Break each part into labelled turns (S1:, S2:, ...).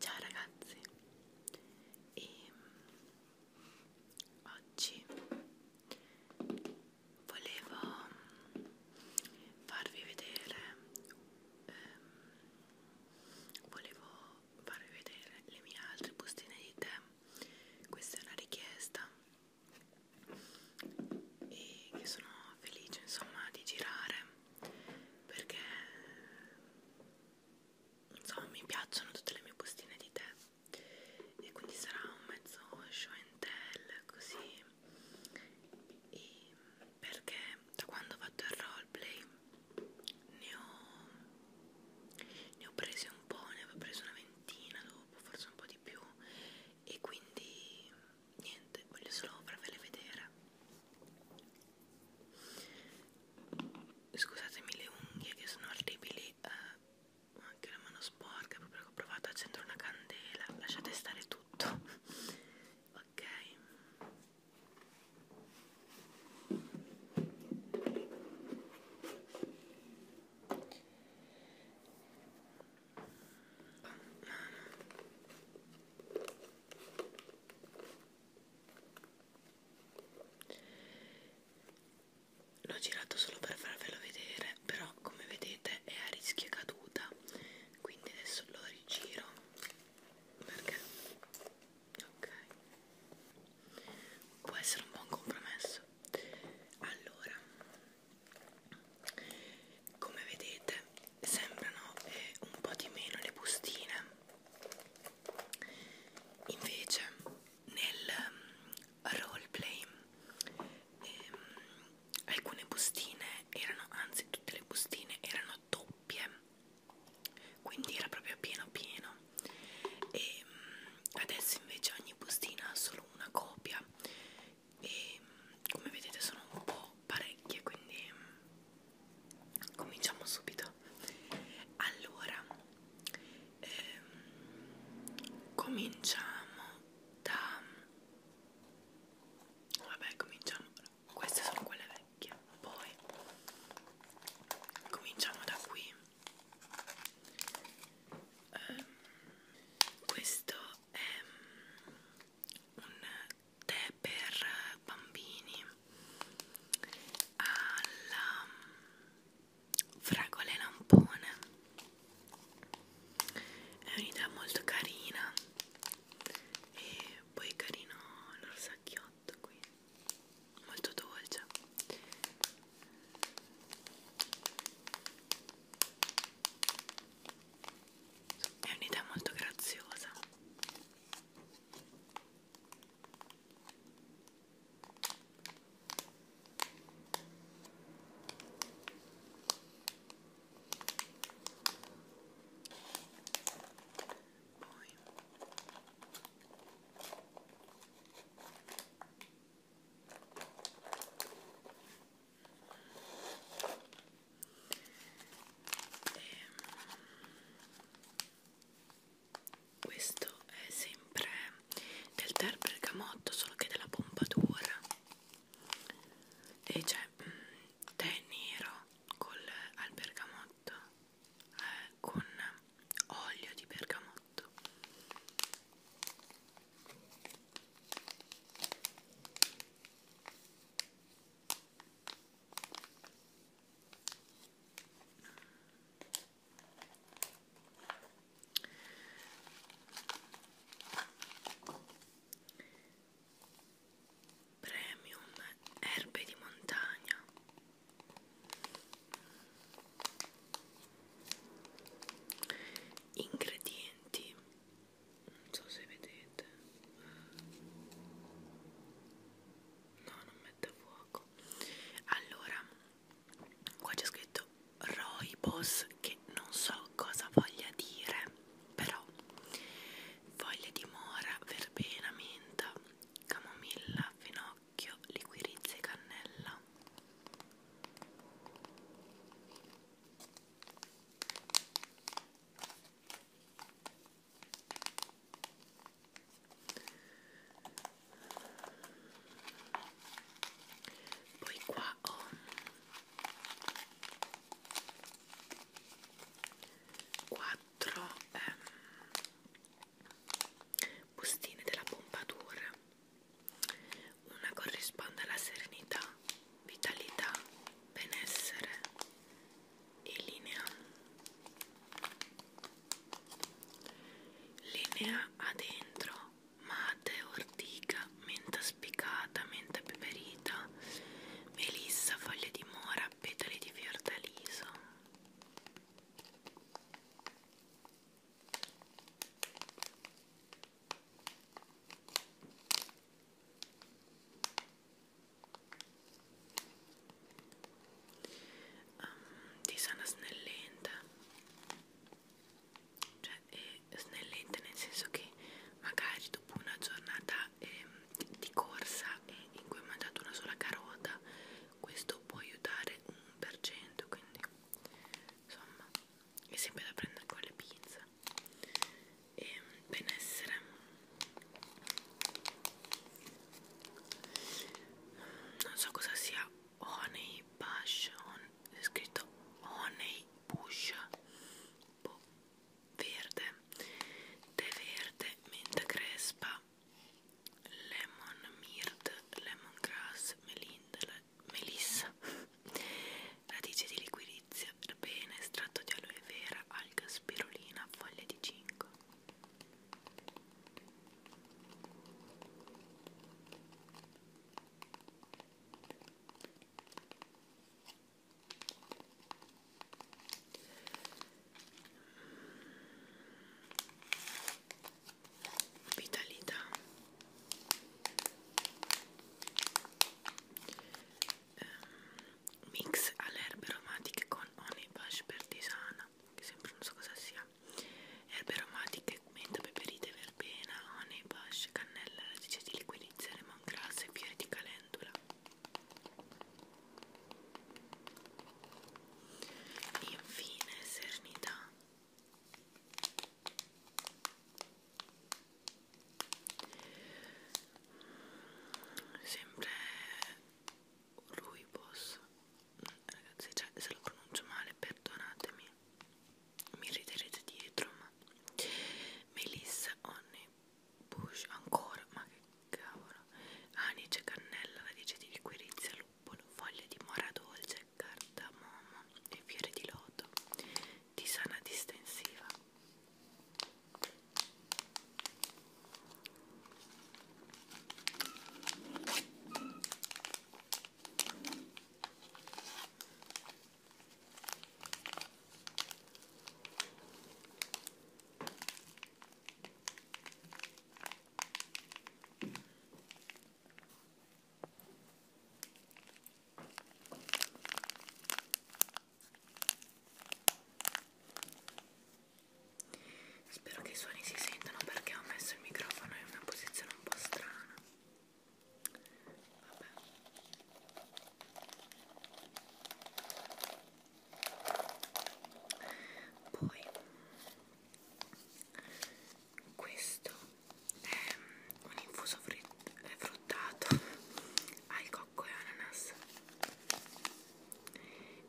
S1: Ciao ragazzi e mm, oggi volevo mm, farvi vedere ehm, volevo farvi vedere le mie altre bustine di tè questa è una richiesta e che sono felice insomma di girare perché insomma mi piacciono tutte le mie bustine di tè e quindi sarà un mezzo show and tell così e perché da quando ho fatto il roleplay ne ho, ne ho presi un po', ne avevo preso una ventina dopo, forse un po' di più e quindi niente, voglio solo farvele vedere Scusatemi le unghie che sono orribili, uh, anche la mano sporca, proprio che ho provato a accendere una candela, lasciate stare tutto. ok. Oh, mamma l'ho girato solo per farvelo vedere però come vedete è a rischio caduta quindi adesso lo rigiro perché ok può essere un buon compromesso allora come vedete sembrano eh, un po' di meno le bustine invece nel mm, roleplay eh, alcune bustine erano anzi tutte le bustine erano doppie quindi era proprio pieno pieno e mm, adesso invece ogni bustina ha solo una copia e mm, come vedete sono un po' parecchie quindi cominciamo subito allora ehm, cominciamo da vabbè cominciamo queste sono quelle vecchie poi cominciamo da qui ehm, questo è un tè per eh, bambini alla mm, fragola e lampone è un'idea molto carina e poi è carino l'orsacchiotto qui molto dolce è un'idea molto graziosa poi e ehm, questo è sempre del tè bergamotto solo che della pompatura e c'è mm, tè nero col, al bergamotto eh, con olio di bergamotto Premium erbe di montagna. Ingredienti non so se vedete no non mette a fuoco allora qua c'è scritto roibos che non so cosa voglia dire però foglie di mora verbena menta camomilla finocchio liquirizia e cannella poi qua ho quattro eh, bustine della pompadour. Una corrisponde alla serenità vitalità, benessere e linea. Linea ha dentro mate, ortica, menta spiccata, menta peperita, melissa, foglie di mora, petali di fiordaliso um, di sana snellente cioè è snellente nel senso che magari dopo una giornata eh, di corsa e eh, in cui ho mangiato una sola carota questo può aiutare un per cento quindi insomma è sempre da prendere con le pizze e benessere non so cosa sia honey bush on, è scritto honey bush boh, verde tè verde menta crespa lemon mirt lemongrass melindela melissa, radice di liquirizia, erbene, estratto di aloe vera, alga, spirulina, foglie di cinco. Vitalità um, mix alle erbe aromatiche con honey bush pertisana che sempre non so cosa sia erbe aromatiche menta peperite verbena honey bush cannella radice di liquidizia lemongrass e fiori di calendula infine serenità sempre Ruibos ragazzi cioè, se lo pronuncio male perdonatemi mi riderete dietro ma Melissa Onni Bush ancora ma che cavolo anice cannella radice di liquirizia luppolo foglie di mora dolce cardamomo e fiori di loto di sana distensiva Spero che i suoni si sentano perché ho messo il microfono in una posizione un po' strana. Vabbè. Poi questo è un infuso fruttato al cocco e ananas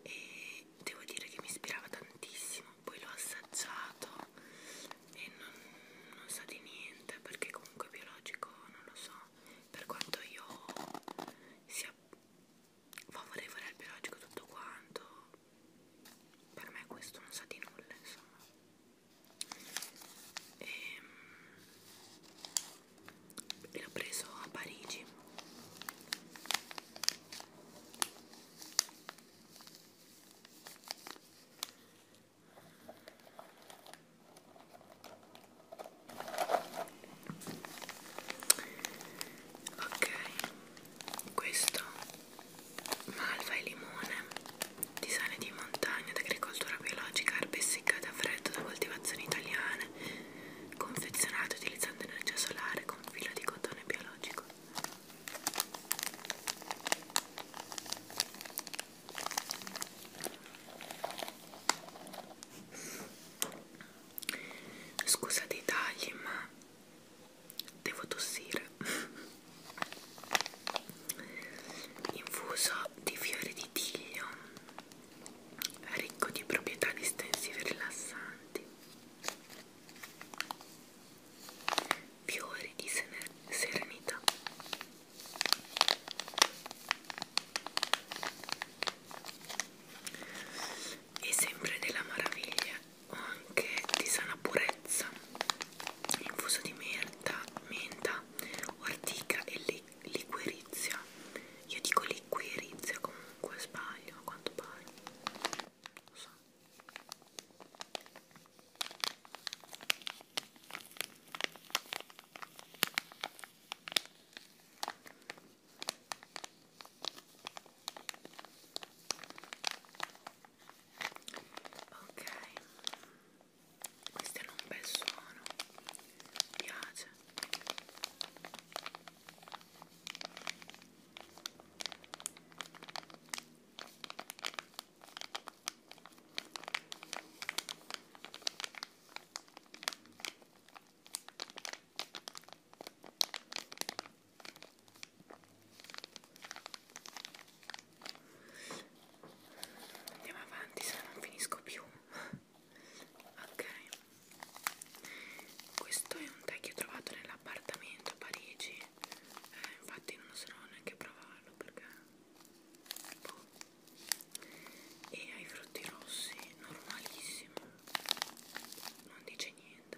S1: e devo dire che mi ispirava tantissimo poi l'ho assaggiato e non, non sa di niente perché comunque biologico non lo so per quanto io sia favorevole al biologico tutto quanto per me questo non sa di nulla insomma e, ehm, e l'ho preso a Parigi ok questo malva e limone, di sale di montagna, d'agricoltura biologica, erbe essiccate a freddo da coltivazioni italiane, confezionate utilizzando energia solare con filo di cotone biologico. Scusa dei tagli, ma devo tossire infuso di fiori di tiglio ricco di proprietà distensive rilassanti fiori di serenità e sempre della maraviglia anche di sana purezza, infuso di menta, menta ortica e li, liquirizia. Io dico liquirizia comunque, sbaglio a quanto pare. Lo so ok questo è un bel suono mi piace Andiamo avanti, se no non finisco più. ok, questo è un tè che ho trovato nell'appartamento a Parigi. Eh, infatti, non so neanche provarlo perché. Boh. E ai frutti rossi, normalissimo, non dice niente.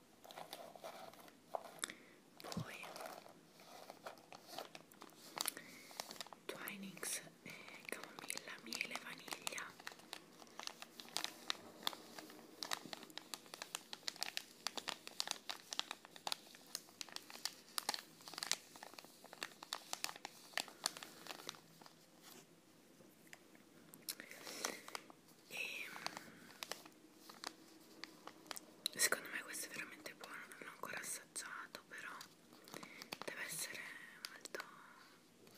S1: poi Twinings eh, camomilla, miele, vaniglia e secondo me questo è veramente buono non l'ho ancora assaggiato però deve essere molto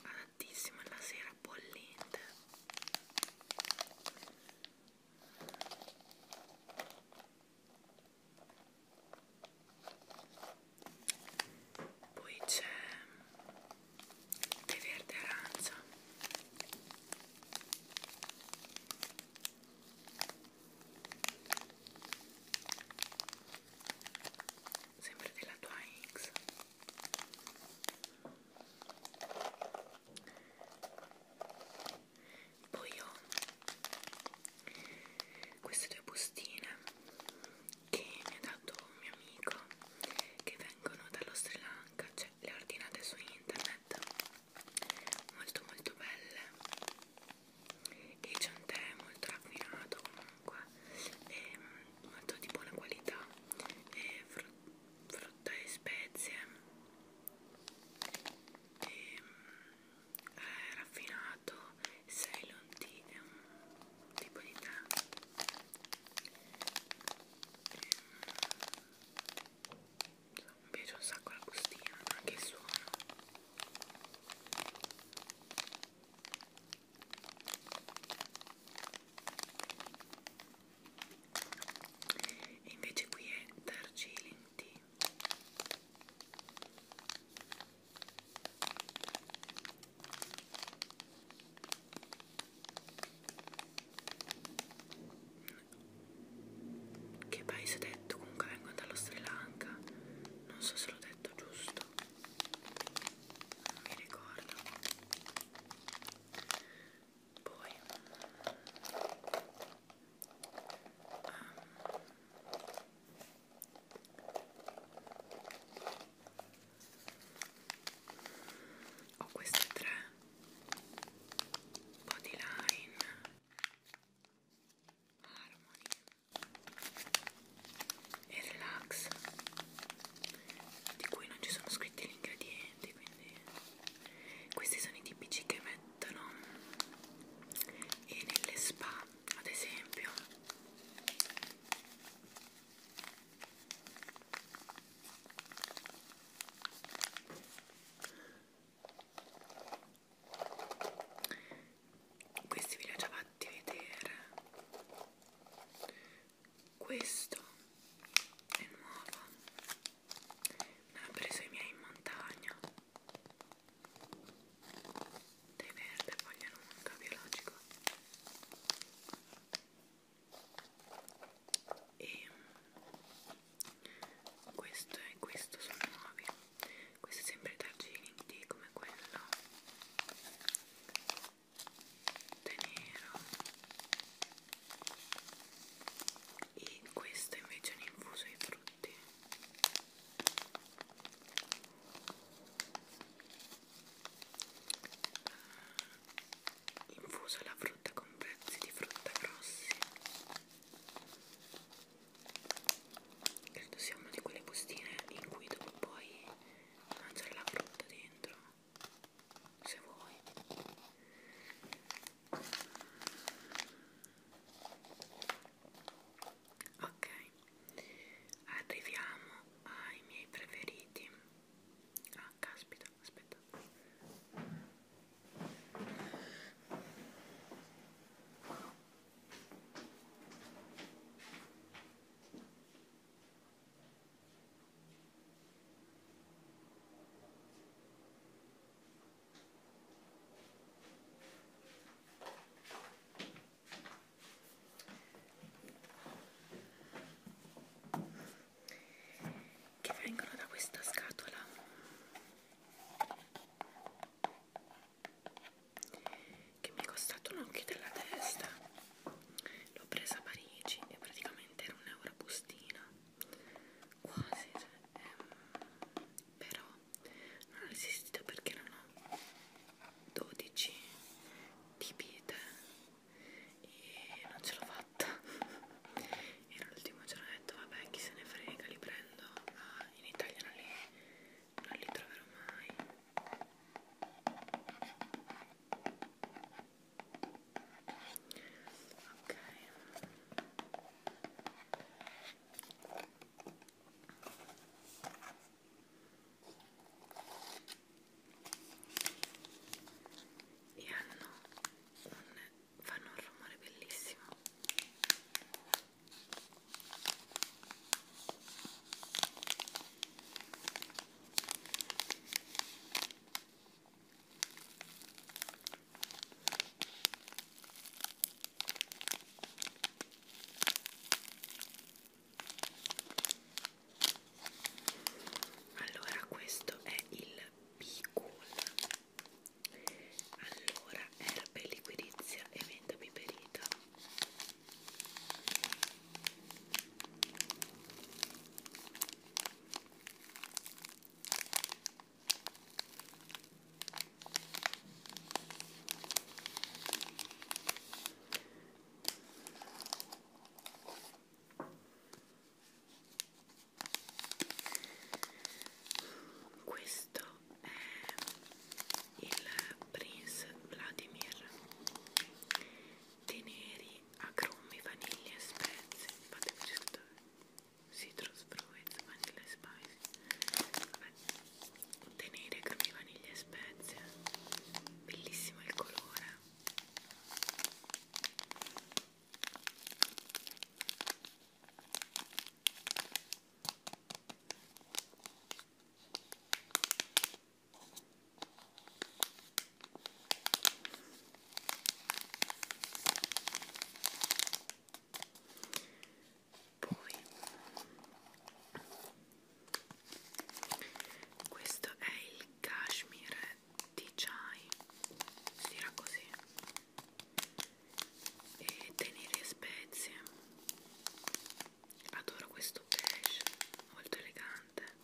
S1: adattissimo alla sera bollente poi c'è è verde aranza sempre della Twinings poi ho queste due bustine che mi ha dato un mio amico che vengono dallo Sri Lanka, cioè le ordinate su internet, molto molto belle e c'è un tè molto raffinato comunque e mm, molto di buona qualità e frutta, frutta e spezie e mm, è raffinato Ceylon tea è un tipo di tè e, mm, mi piace un sacco la bustina anche il suono e invece qui è Darjeeling Tea che paese ho detto? Comunque vengo dallo Sri Lanka. Non so se l'ho detto giusto. Non mi ricordo. Poi um, ho queste tre bodyline harmony e relax di cui non ci sono scritti gli ingredienti quindi questi sono i tipici che mettono e nelle spa ad esempio questi ve li ho già fatti vedere. Questo è nuovo. Me l'ho preso i miei in montagna. Dei verde, foglia lunga, biologico e questo e questo sono nuovi questo è sempre Darjeeling Tea come quello tenero e questo invece è un infuso ai frutti infuso la frutta con pezzi di frutta grossi credo sia una di quelle bustine in cui tu puoi mangiare la frutta dentro se vuoi ok arriviamo ai miei preferiti Ah, caspita, aspetta che vengono da questa scatola che mi è costato un occhio della testa l'ho presa a Parigi e praticamente era un euro a bustina quasi cioè, ehm, però non ho resistito perché erano 12 tipite e non ce l'ho fatta e l'ultimo giorno ho detto vabbè chi se ne frega li prendo ma in Italia non li, non li troverò mai ok e hanno un, fanno un rumore bellissimo allora questo è il Picool allora erbe liquidizia e menta piperita questo è il Prince Vladimir Teneri, agrumi, vaniglia e spezie. Fatemi scrivere citrus fruits, vanilla e spice. Vabbè contenere crumi, vaniglia e spezie bellissimo il colore poi questo è il cashmere di chai si tira così e tenere spezie adoro questo beige molto elegante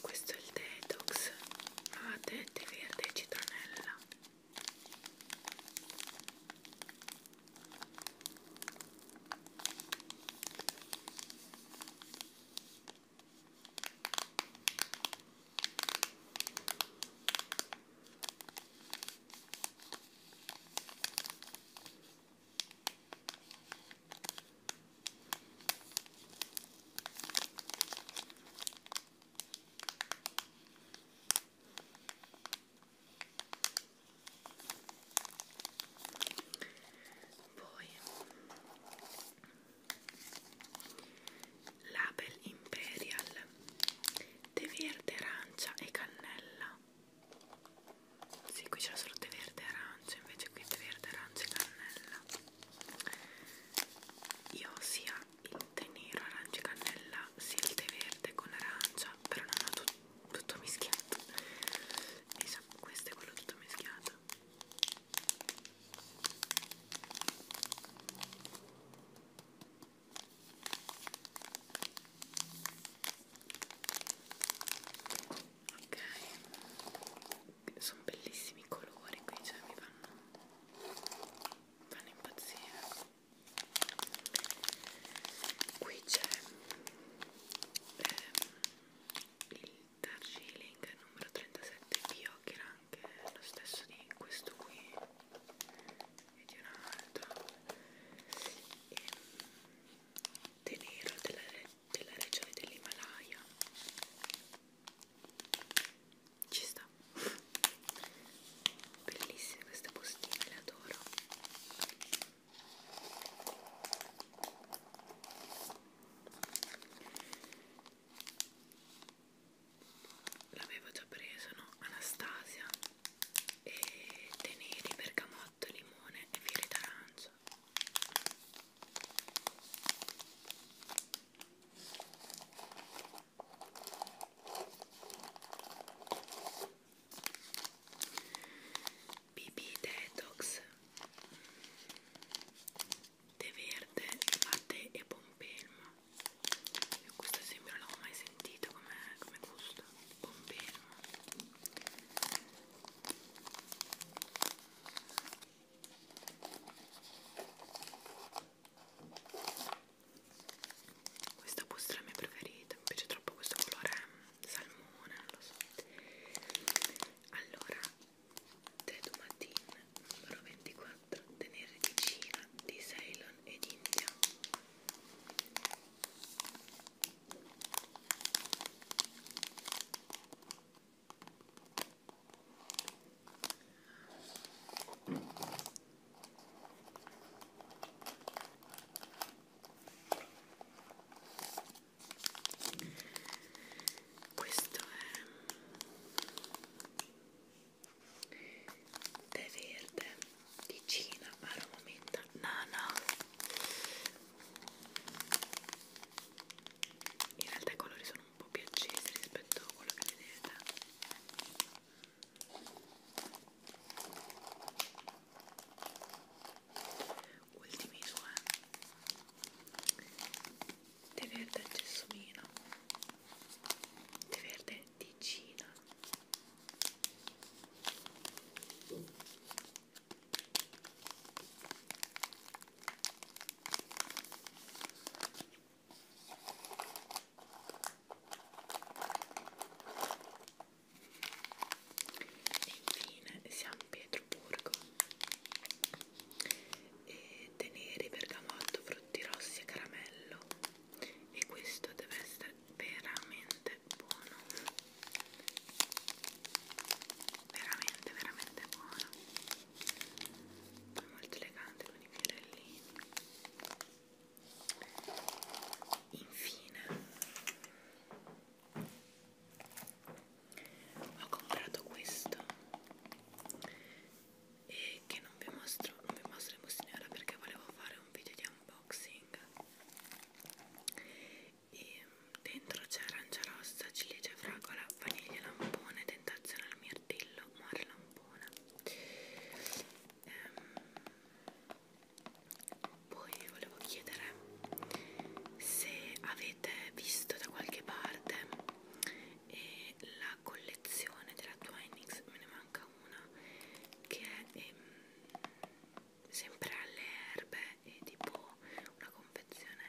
S1: questo è il detox a tette verde e citronella poi Label Imperial tè verde, arancia e cannella sì qui c'è solo tè verde e arancia invece qui tè verde, arancia e cannella io ho sia il tè nero, arancia e cannella sia il tè verde con arancia però non ho tutto tutto mischiato esatto questo è quello tutto mischiato ok sono bellissimi i colori qui cioè mi fanno, fanno impazzire qui c'è ehm, il Darjeeling numero 37 Bio che era anche lo stesso di questo qui e di un'altra ehm, tenero della, della regione dell'Himalaya ci sta bellissime queste bustine le adoro l'avevo già preso no? Anastasia e tè neri, bergamotto, limone e fiori d'arancia BB Detox Tè verde, latte e pompelmo io questo esempio non l'avevo mai sentito come, come gusto. Pompino. Questa busta è la mia preferita, mi piace troppo questo colore mm, salmone, non lo so. Allora, Tedu Matin numero 24 4 tenere di Cina, di Ceylon ed India. Questo è tè verde di Cina aroma menta nana in realtà i colori sono un po' più accesi rispetto a quello che vedete ultimi due tè verde e gelsomino tè verde latticina e infine siamo a Pietroburgo e teneri, bergamotto, frutti rossi e caramello e questo deve essere veramente buono veramente veramente buono poi molto elegante con i fiorellini infine ho comprato questo e che non vi mostro, non vi mostro in bustinera perché volevo fare un video di unboxing e mm, dentro c'è arancia rossa, ciliegia, fragola, vaniglia, lampone, tentazione al mirtillo, muore lampona ehm, poi volevo chiedere se avete visto da qualche parte e la collezione della Twinings, me ne manca una che è ehm, sempre alle erbe e tipo una confezione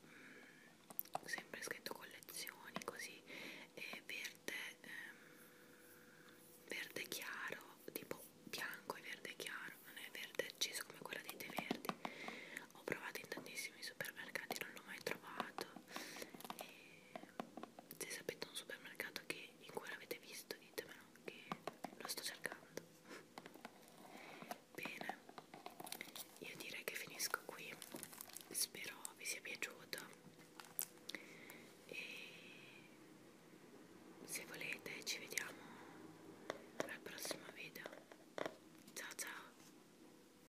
S1: mh, mm, sempre scritto collezioni così e verde ehm, verde chiaro tipo bianco e verde chiaro non è verde acceso come quella dei te verdi ho provato in tantissimi supermercati non l'ho mai trovato e se sapete un supermercato che, in cui l'avete visto ditemelo che lo sto cercando bene io direi che finisco qui spero vi sia piaciuto e se volete ci vediamo al prossimo video ciao ciao